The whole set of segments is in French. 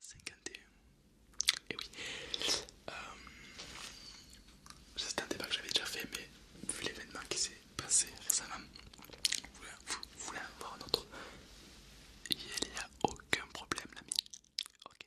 51. Et eh oui. Euh, un débat que j'avais déjà fait, mais vu l'événement qui s'est passé récemment, vous, vous voulez avoir voir un autre Il n'y a aucun problème, l'ami. Ok.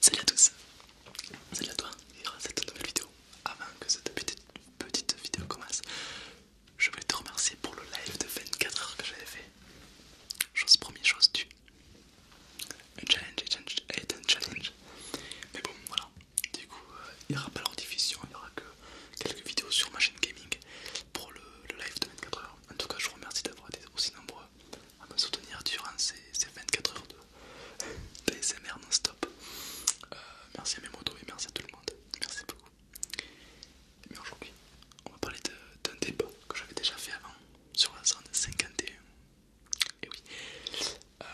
Salut à tous, salut à toi et à cette nouvelle vidéo. Avant que cette petite, vidéo commence, je voulais te remercier pour le live de 24 heures que j'avais fait. Chose première, chose due. Un challenge est un challenge. Mais bon, voilà. Du coup, euh, il n'y aura pas leur diffusion, il n'y aura que quelques vidéos sur ma chaîne gaming pour le, live de 24 heures. En tout cas, je vous remercie d'avoir été aussi nombreux à me soutenir durant ces, 24 heures de d'ASMR non-stop. Euh, merci à mes motos et merci à tout le monde. Merci beaucoup. Mais aujourd'hui, on va parler d'un débat que j'avais déjà fait avant sur la zone 51 et eh oui. Euh,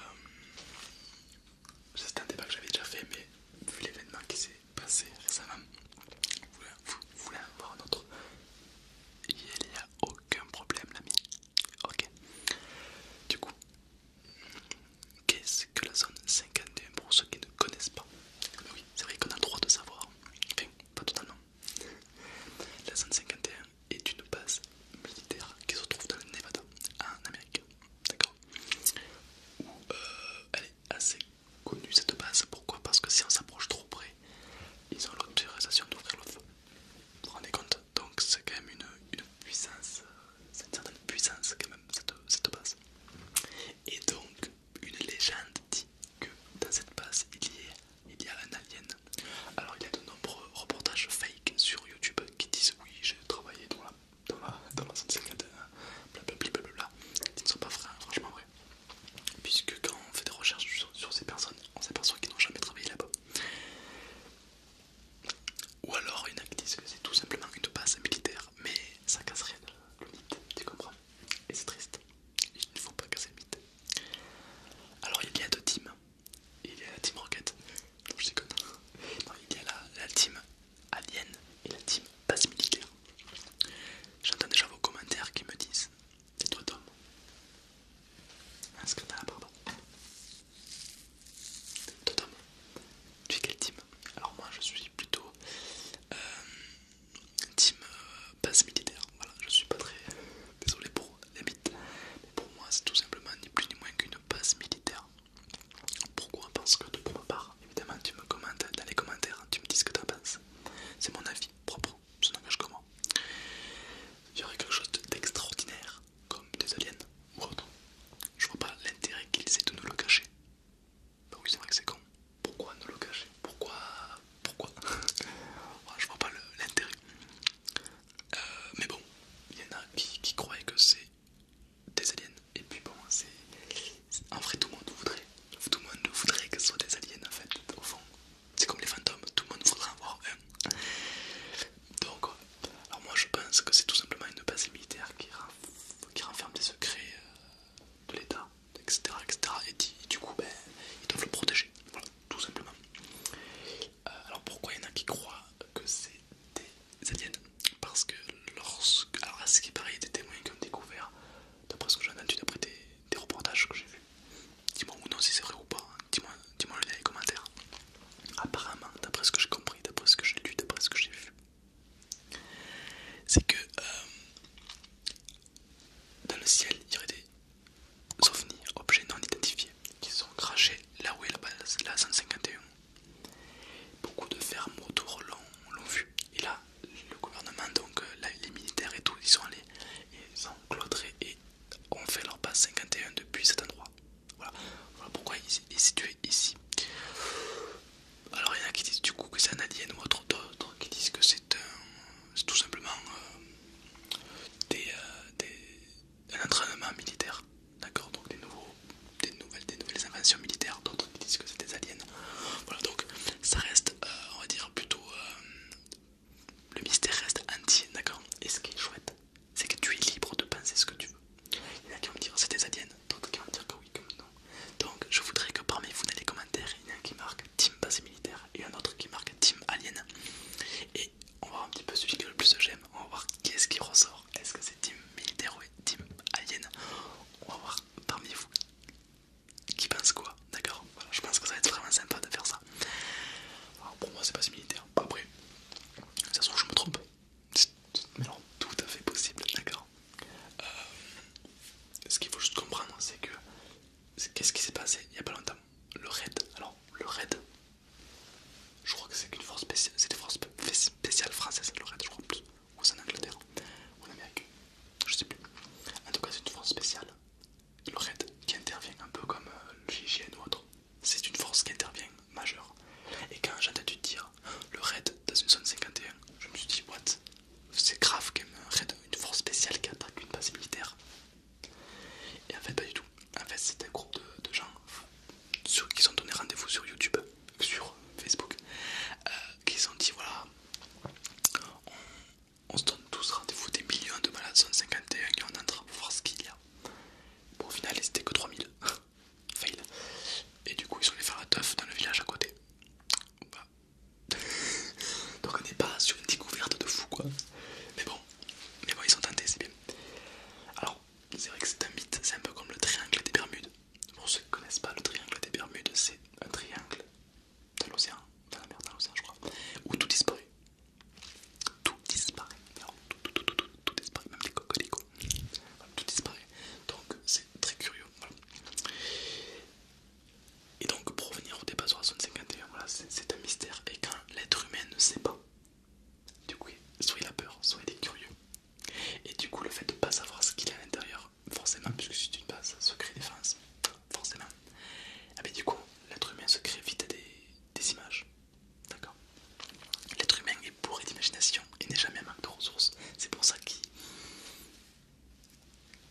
c'est un débat que j'avais déjà fait, mais vu l'événement qui s'est passé récemment, vous voulez avoir un autre Il n'y a aucun problème, l'ami. Ok. Du coup, qu'est-ce que la zone 51 pour ceux qui ne connaissent pas Oui, c'est vrai qu'on a le droit de savoir. Enfin, pas totalement. La zone 51, et une base militaire qui se trouve dans le Nevada, en Amérique. D'accord euh, elle est assez connue cette base. Pourquoi Parce que si on s'approche trop près, ils ont l'autorisation d'ouvrir le feu. Vous vous rendez compte Donc c'est quand même une, puissance, c'est une certaine puissance quand même cette, base. Et donc une légende dit que dans cette base il y a, il y a un alien. Alors il y a de nombreux reportages faits sur YouTube qui disent oui j'ai travaillé dans la dans la blablabla euh, qui ne sont pas vrais, franchement vrais puisque quand on fait des recherches sur, ces personnes on s'aperçoit qu'ils n'ont jamais travaillé là-bas ou alors il y en a qui disent que c'est tout simplement une base militaire mais ça casse rien le mythe tu comprends et c'est triste il ne faut pas casser le mythe alors il y a deux teams il y a la team Rocket. Non, je déconne. Non, il y a la, team Alien et la team base militaire. J'entends déjà vos commentaires qui me disent ah, C'est toi, Tom Un la barbe Toi, Tom, tu es quelle team Alors, moi, je suis plutôt euh, team base euh, militaire. Voilà, je suis pas très. Désolé pour les mythes, mais pour moi, c'est tout simplement ni plus ni moins qu'une base militaire. Pourquoi Parce que de ma part, évidemment, tu me commentes dans les commentaires, tu me dis ce que tu penses. C'est mon avis propre, ça n'engage que moi. Il y aurait quelque chose d'extraordinaire, comme des aliens ou autre. Je vois pas l'intérêt qu'ils aient de nous le cacher. Bah oui, c'est vrai que c'est con. Pourquoi nous le cacher Pourquoi Pourquoi Je vois pas l'intérêt. Euh, mais bon, il y en a qui, qui croient que c'est des aliens. Et puis bon, c'est... En vrai, tout le monde voudrait. Tout le monde voudrait que ce soit des aliens, en fait, au fond. C'est comme les fantômes, tout le monde voudrait en avoir un. Donc, alors moi je pense que c'est tout simplement une base militaire qui, renferme des secrets euh, de l'État, etc., etc. Et, et du coup, ben, ils doivent le protéger. Voilà, tout simplement. Euh, alors pourquoi il y en a qui croient que c'est des aliens Parce que lorsque... Alors ce qui y a des témoins qui ont découvert, d'après ce que j'ai entendu, d'après des, reportages que j'ai vu Dis-moi ou non si c'est vrai ou pas, hein. dis-moi le dire dans les commentaires. Apparemment, d'après ce que j'ai compris, d'après ce que j'ai lu, d'après ce que j'ai vu, c'est que euh, dans le ciel, il y aurait des ovnis, objets non identifiés, qui sont crachés là où est la base, la 151, Beaucoup de fermes autour l'ont vu. Et là, le gouvernement, donc euh, les militaires et tout, ils sont allés, ils sont et ont fait leur passe 51 depuis cet endroit. Voilà, pourquoi il est situé ici. Alors il y en a qui disent du coup que c'est un alien ou autre, d'autres qui disent que c'est tout simplement euh, des, euh, un entraînement militaire, d'accord Donc des, nouveaux, des, nouvelles, des nouvelles inventions militaires, d'autres disent que c'est des aliens. Voilà, donc ça reste, euh, on va dire, plutôt. Euh, le mystère reste entier, d'accord Et ce qui est chouette, c'est que tu es libre de penser ce que tu veux. Il y en a qui vont me dire c'est des aliens, d'autres qui vont dire que oui, comme non. Donc je voudrais que parmi vous dans les commentaires, il y en a un qui marque Team passé Militaire et un autre qui marque Team Alien. Et on va voir un petit peu celui que le plus j'aime, on va voir quest ce qui ressort est-ce que c'est team militaire ou team alien On va voir parmi vous qui pense quoi, d'accord Je pense que ça va être vraiment sympa de faire ça. Alors, pour moi, c'est pas si militaire. Après, ça se trouve, je me trompe. Mais alors tout à fait possible, d'accord euh, Ce qu'il faut juste comprendre, c'est que qu'est-ce qui s'est passé il y a pas longtemps Le raid, alors le raid, je crois que c'est une force spéciale, c'est le raid je crois plus, ou c'est en Angleterre, ou en Amérique, je sais plus. En tout cas, c'est une force spéciale, le Red, qui intervient un peu comme euh, le GIGN ou autre. C'est une force qui intervient majeure. Et quand j'ai entendu dire le raid dans une zone 51, je me suis dit, what C'est grave qu'un raid une force spéciale qui attaque une base militaire. Et en fait, pas du tout. En fait, c'est un groupe de, gens sur, qui sont donné rendez-vous sur YouTube, sur Facebook, euh, qui qui sont dit voilà, on, se donne tous rendez-vous des millions de malades, 151 qui et on pour voir ce qu'il y a. Bon, au final, c'était que 3000. Fail. Et du coup, ils sont allés faire la teuf dans le village à côté. Donc, on n'est pas sur une découverte de fou quoi. Mais bon, mais bon ils sont tentés, c'est bien c'est vrai que c'est un mythe, c'est un peu comme le triangle des Bermudes. Pour ceux qui ne connaissent pas le triangle des Bermudes, c'est un triangle dans l'océan, dans la mer, dans l'océan je crois, où tout disparaît. Tout disparaît. tout, disparaît, même des coquelicots tout disparaît. Donc c'est très curieux. Et donc pour revenir au débat sur la zone 51, c'est un mystère. Et quand l'être humain ne sait pas, du coup, soit il a peur, soit il est curieux. Et du coup, le fait de ne pas savoir ce qu'il a à l'intérieur, forcément, puisque c'est une base, secret défense, forcément. Ah du coup, l'être humain se crée vite des, images. D'accord L'être humain est bourré d'imagination et n'est jamais à manque de ressources. C'est pour ça qu'il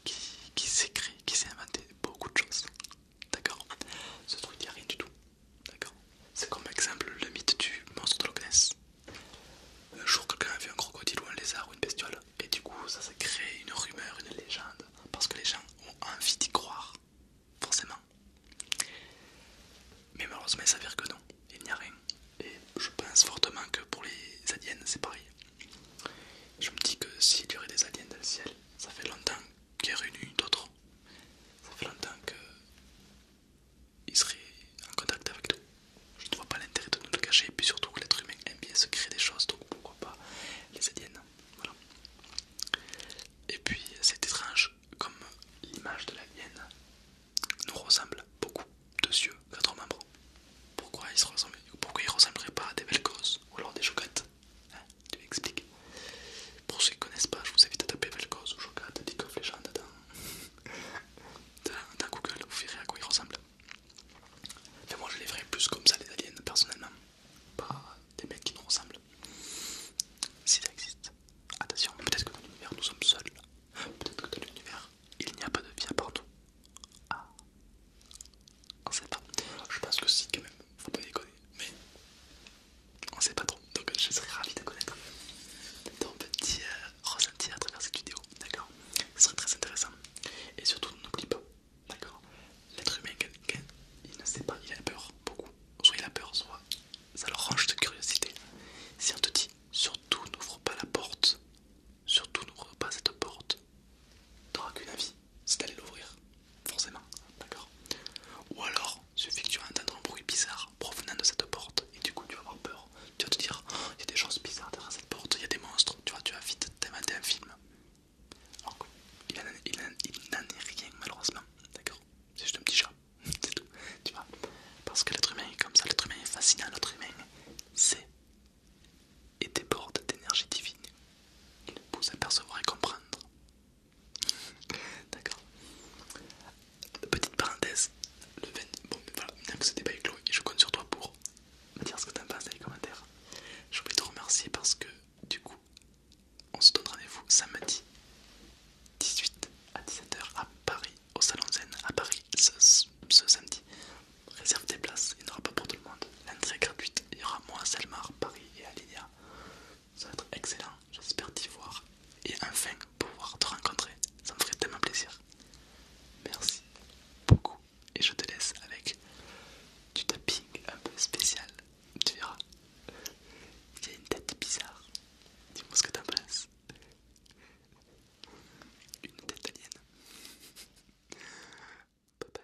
qui, qui s'est qui s'est inventé beaucoup de choses. D'accord Ce truc, il n'y a rien du tout. D'accord C'est comme exemple le mythe du monstre de Loch Un jour, quelqu'un a vu un crocodile ou un lézard ou une bestiole, et du coup, ça s'est créé une rumeur, une légende, parce que les gens ont envie d'y croire, forcément. Mais malheureusement, il s'avère que non, il n'y a rien. Et je pense fortement que pour les aliens, c'est pareil. Je me dis que s'il y aurait des aliens dans le ciel, ça fait longtemps qu'il y en a eu d'autres. Ça fait longtemps que il serait en contact avec nous. Je ne vois pas l'intérêt de nous le cacher, et puis surtout que l'être humain aime bien se créer des choses, donc pourquoi pas les aliens. Et puis c'est étrange comme l'image de l'alien nous ressemble beaucoup, deux yeux, quatre membres. Pourquoi ils se ressemble, pourquoi ils ressembleraient pas à des belles ou alors des chocates hein, Tu m'expliques. Pour ceux qui ne connaissent pas, je vous invite à taper belle ou chocate, League of legend dans dans, Google, vous verrez à quoi ils ressemblent. Mais moi je les verrais plus comme ça, les aliens, personnellement. Pas des mecs qui nous ressemblent. Si ça existe. Attention, peut-être que dans l'univers nous sommes seuls. Peut-être que dans l'univers il n'y a pas de vie à partout. Ah. On sait pas. Je pense que si, quand même. vous pouvez déconner. Mais on sait pas trop, donc je serais ravi de connaître ton petit euh, ressenti à travers cette vidéo, d'accord Ce serait très intéressant. Et surtout, n'oublie pas, d'accord L'être humain, quelqu'un, il ne sait pas, il a peur, beaucoup. Soit il a peur, soit ça le range de curiosité. Si on te dit, surtout n'ouvre pas la porte, surtout n'ouvre pas cette porte, t'auras qu'une avis, c'est d'aller l'ouvrir, forcément, d'accord Ou alors, suffit que tu entendre un bruit bizarre, provenant de cette porte et du coup tu vas avoir peur. Tu vas te dire, oh, il y a des choses bizarres derrière cette porte, il y a des monstres, tu vois, tu vas vite t'inventer un film. Alors il n'en est rien malheureusement, d'accord C'est juste un petit chat, c'est tout, tu vois. Parce que l'être humain est comme ça, l'être humain est fascinant, l'être humain c'est et déborde d'énergie divine. Il nous pousse à percevoir et comprendre D'accord. Petite parenthèse, le Bon, voilà, que ce débat je compte sur toi pour me dire ce que t'en penses dans les commentaires. Je voulais te remercier parce que, du coup, on se donne rendez-vous samedi 18 à 17h à Paris, au Salon Zen, à Paris, ce, samedi. Réserve tes places, il n'y en aura pas pour tout le monde. L'entrée est gratuite, il y aura moi, Salmar, Paris et à Lydia ça va être excellent, j'espère t'y voir et enfin pouvoir te rencontrer, ça me ferait tellement plaisir. Merci beaucoup et je te laisse avec du tapping un peu spécial, tu verras. Il y a une tête bizarre, dis-moi ce que t'en penses. Une tête alien. Bye bye.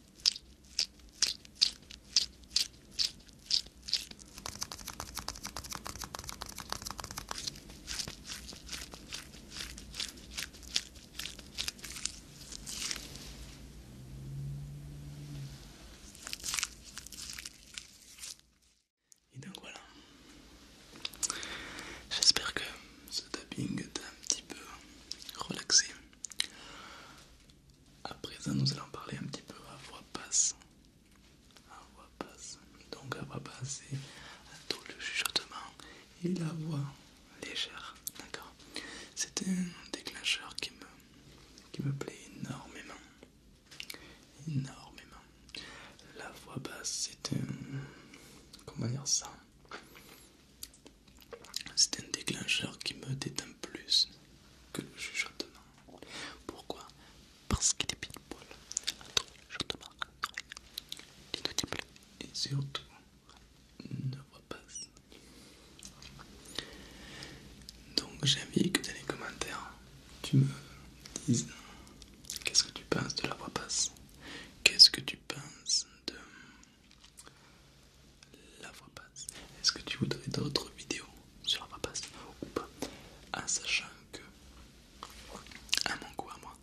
Et donc voilà. J'espère que ce tapping t'a un petit peu relaxé. À présent, nous allons parler un petit peu à voix basse. À voix basse. Donc, à voix basse, c'est un le chuchotement et la voix légère. D'accord C'est un déclencheur qui me, qui me plaît énormément. Énormément. La voix basse, c'est un. Comment dire ça C'est un déclencheur qui me détend plus que le chuchotement. Pourquoi Parce qu'il est pile poil entre je te marque l'inaudible et surtout ne voix pas. Donc j'ai envie que dans les commentaires tu me dises qu'est-ce que tu penses de la voix passe qu'est-ce que tu penses de la voix passe. Est-ce que tu voudrais d'autres vidéos sur la voix passe ou pas En sachant que, à mon goût, à moi,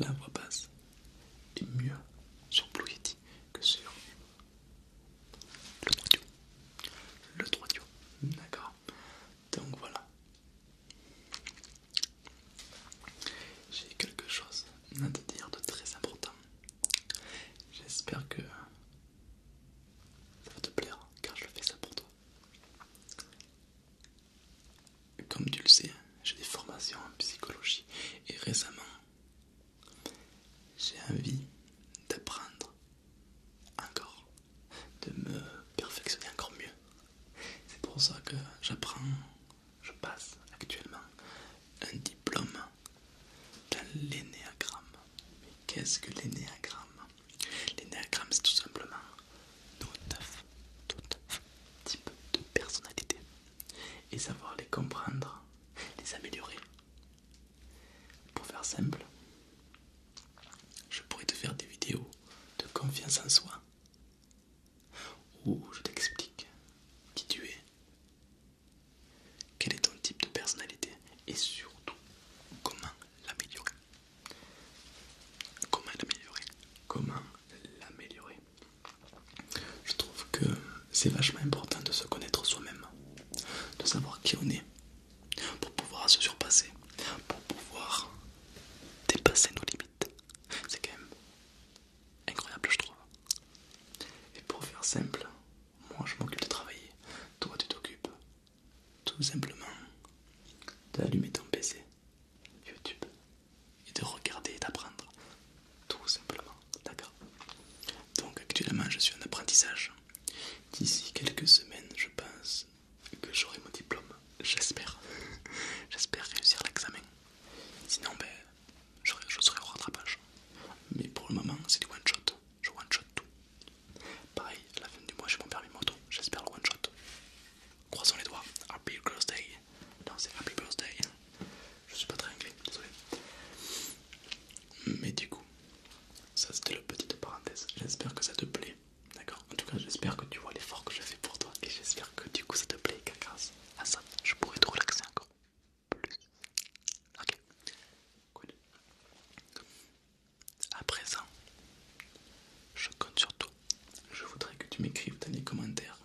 la voix basse est mieux sur Blue Yeti que sur le 3 Le 3 d'accord Donc voilà. J'ai quelque chose à te dire de très important. J'espère que ça va te plaire hein, car je fais ça pour toi. Comme tu le sais, j'ai des formations en psychologie et récemment, j'ai envie d'apprendre encore, de me perfectionner encore mieux. C'est pour ça que j'apprends, je passe actuellement un diplôme dans l'énéagramme. Mais qu'est-ce que l'énéagramme L'énéagramme, c'est tout simplement tout type de personnalité et savoir les comprendre, les améliorer. Pour faire simple, je pourrais te faire des vidéos de confiance en soi où je t'explique qui tu es, quel est ton type de personnalité et surtout comment l'améliorer Comment l'améliorer Comment l'améliorer Je trouve que c'est vachement important de se connaître soi-même, de savoir qui on est, pour pouvoir se surpasser, pour pouvoir dépasser nos limites. C'est quand même incroyable je trouve. Et pour faire simple, moi je m'occupe de travailler. Toi tu t'occupes tout simplement d'allumer ton PC, YouTube, et de regarder et d'apprendre. Tout simplement. D'accord Donc actuellement je suis en apprentissage. D'ici quelques semaines je pense que j'aurai mon diplôme. J'espère. J'espère réussir l'examen. Sinon ben, je serai au rattrapage. Mais pour le moment c'est du one shot je one shot tout. Pareil, à la fin du mois j'ai mon permis moto, j'espère le one shot. Croisons les doigts, Happy Birthday. Non, c'est Happy Birthday. Je suis pas très anglais, désolé. Mais du coup, ça c'était la petite parenthèse. J'espère que ça te plaît. D'accord En tout cas, j'espère que tu vois l'effort que je fais pour toi et j'espère que du coup ça te plaît. grâce à ça, je pourrai te relaxer encore plus. Ok, cool. À présent, je compte sur toi. Je voudrais que tu m'écrives dans les commentaires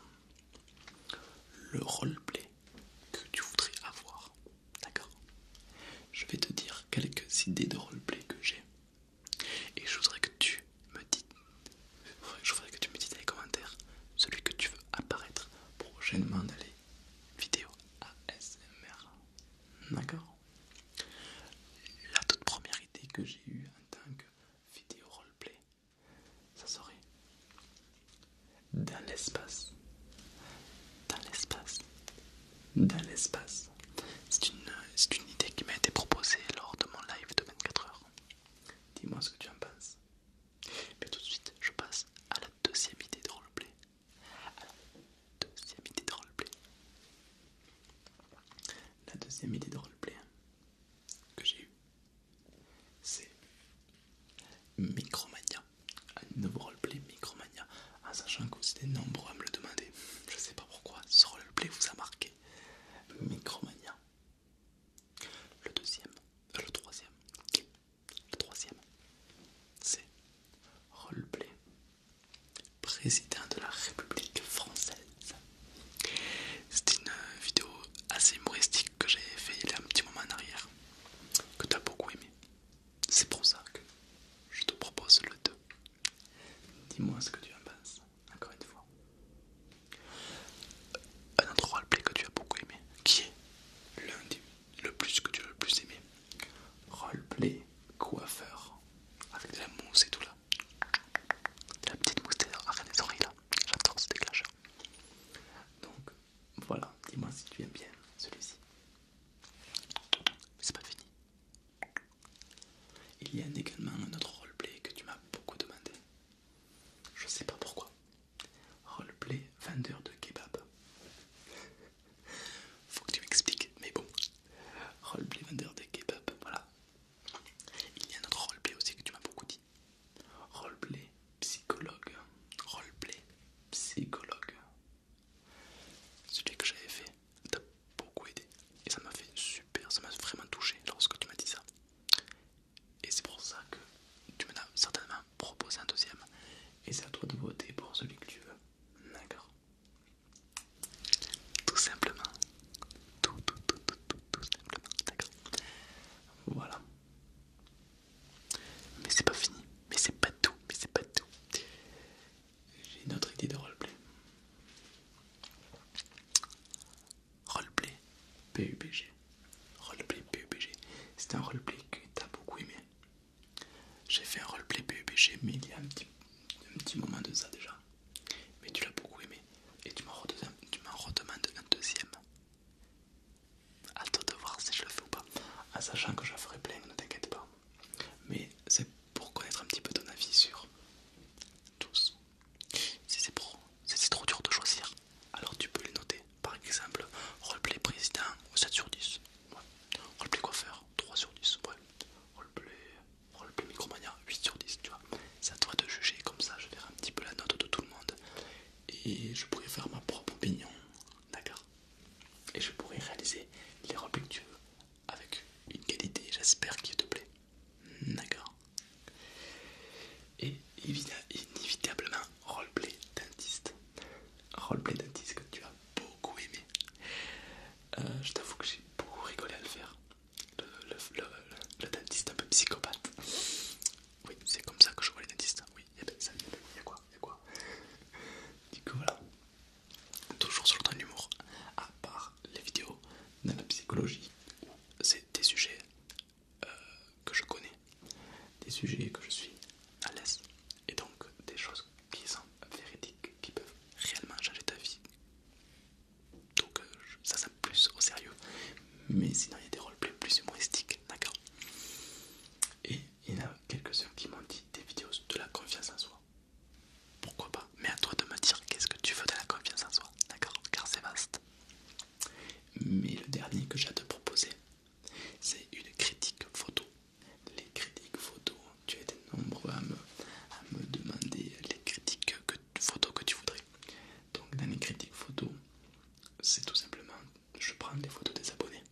le roleplay que tu voudrais avoir. D'accord Je vais te dire quelques idées de roleplay que j'ai. Et je voudrais que tu me dises je voudrais que tu me dises dans les commentaires celui que tu veux apparaître prochainement dans vidéo ASMR. D'accord La toute première idée que j'ai eue en tant que vidéo roleplay, ça serait dans l'espace. Dans l'espace. Dans l'espace. C'est une, idée qui m'a été proposée lors de mon live de 24 heures. Dis-moi ce que tu en penses. Mais tout de suite, je passe à la deuxième idée de roleplay deuxième idée de roleplay. La deuxième idée de roleplay que j'ai eue, c'est Micromania. Un nouveau roleplay Micromania. En sachant que vous étiez nombreux à me le demander. Je sais pas pourquoi ce roleplay vous a marqué. Micromania. Le deuxième, le troisième, le troisième, c'est Roleplay, président de la République française. C'est une vidéo assez humoristique que j'ai fait il y a un petit moment en arrière, que tu as beaucoup aimé. C'est pour ça que je te propose le 2. Dis-moi ce que tu en penses, encore une fois. Un autre roleplay que tu as beaucoup aimé, qui est l'un des le plus que tu as le plus aimé Roleplay coiffeur avec de la mousse et tout là. la petite mousse derrière les oreilles là. J'adore ce déclencheur. Donc voilà, dis-moi si tu aimes bien celui-ci. c'est pas fini. Il y a également un autre roleplay que tu m'as beaucoup demandé. Je sais pas pourquoi. Roleplay vendeur de kebab. Faut que tu m'expliques, mais bon. Roleplay vendeur de kebab, voilà. Il y a un autre roleplay aussi que tu m'as beaucoup dit. Roleplay psychologue. Roleplay psychologue. Celui que j'avais fait t'a beaucoup aidé. Et ça m'a fait super, ça m'a vraiment touché lorsque tu m'as dit ça. Et c'est pour ça que tu m'en as certainement propose un deuxième. Et c'est à toi de voter pour celui que tu veux. D'accord Tout simplement. Tout, tout, tout, tout, tout, simplement. D'accord Voilà. Mais c'est pas fini. Mais c'est pas tout. Mais c'est pas tout. J'ai une autre idée de roleplay. Roleplay PUBG. Roleplay PUBG. C'est un roleplay que t'as beaucoup aimé. J'ai fait un roleplay PUBG, mais il y a un petit, moment de ça déjà. Mais tu l'as beaucoup aimé et tu m'en redemandes un deuxième. À toi de voir si je le fais ou pas. En sachant que je ferai plein, ne t'inquiète pas. Mais c'est pour connaître un petit peu ton avis sur tous. Si c'est trop dur de choisir, alors tu peux les noter. Par exemple, roleplay président 7 sur 10. Roleplay coiffeur, 3 sur 10. Ouais. Roleplay, micromania, 8 sur 10. Tu vois, c'est à toi de juger. Comme ça, je verrai un petit peu la note de tout le monde et je pourrais faire ma propre opinion. D'accord Et je pourrais réaliser les roleplays que tu veux avec une qualité, j'espère, qu'il te plaît. D'accord Et évidemment, inévitablement, roleplay dentiste. Roleplay dentiste que tu vois beaucoup aimé. Euh, je t'avoue que j'ai beaucoup rigolé à le faire. Le, dentiste un peu psychopathe. Oui, c'est comme ça que je vois les dentistes. Oui, il ça, y a quoi, y a quoi. Du coup voilà. Toujours sur le temps de À part les vidéos de la psychologie, c'est des sujets euh, que je connais, des sujets que je suis à l'aise, et donc des choses qui sont véridiques, qui peuvent réellement changer ta vie. Donc euh, ça, ça plus au sérieux. Mais sinon, il y a des rôles plus humoristiques, d'accord Et il y en a quelques-uns qui m'ont dit des vidéos de la confiance en soi. Pourquoi pas Mais à toi de me dire qu'est-ce que tu veux de la confiance en soi, d'accord Car c'est vaste. Mais le dernier que j'ai à te proposer, c'est une critique photo. Les critiques photo, tu as été nombreux à me, demander les critiques photos photo que tu voudrais. Donc dans les critiques photo, c'est tout simplement, je prends des photos des abonnés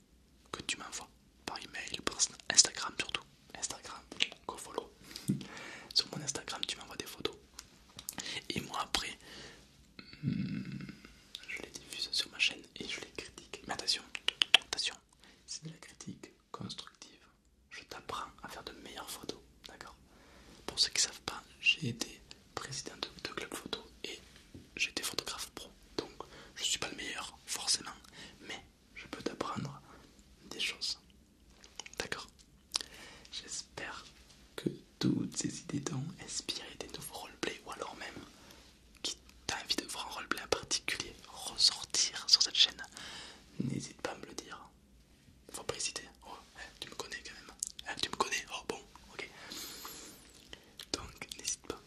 que tu m'envoies par email, par Instagram surtout. Instagram, go follow. Sur mon Instagram, tu m'envoies des photos. Et moi après, hmm, je les diffuse sur ma chaîne et je les critique. Mais attention, c'est de la critique constructive. Je t'apprends à faire de meilleures photos, d'accord Pour ceux qui ne savent pas, j'ai été président de, club photo et j'ai été photographe pro, donc je ne suis pas le meilleur forcément, mais je peux t'apprendre des choses, d'accord J'espère que toutes ces idées t'ont inspiré des nouveaux roleplays ou alors même qui t'a envie de voir un roleplay en particulier ressortir sur cette chaîne, n'hésite pas à me le dire. Faut pas hésiter. Oh, eh, tu me connais quand même. Eh, tu me connais. Oh bon, ok. Donc n'hésite pas.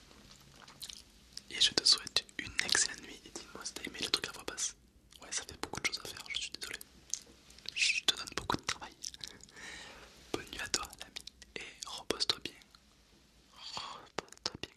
Et je te souhaite une excellente nuit. Et dis-moi si t'as aimé le truc à voix basse. Ouais, ça fait beaucoup de choses à faire, je suis désolé. Je te donne beaucoup de travail. Bonne nuit à toi, l'ami. Et repose-toi bien. Repose-toi bien.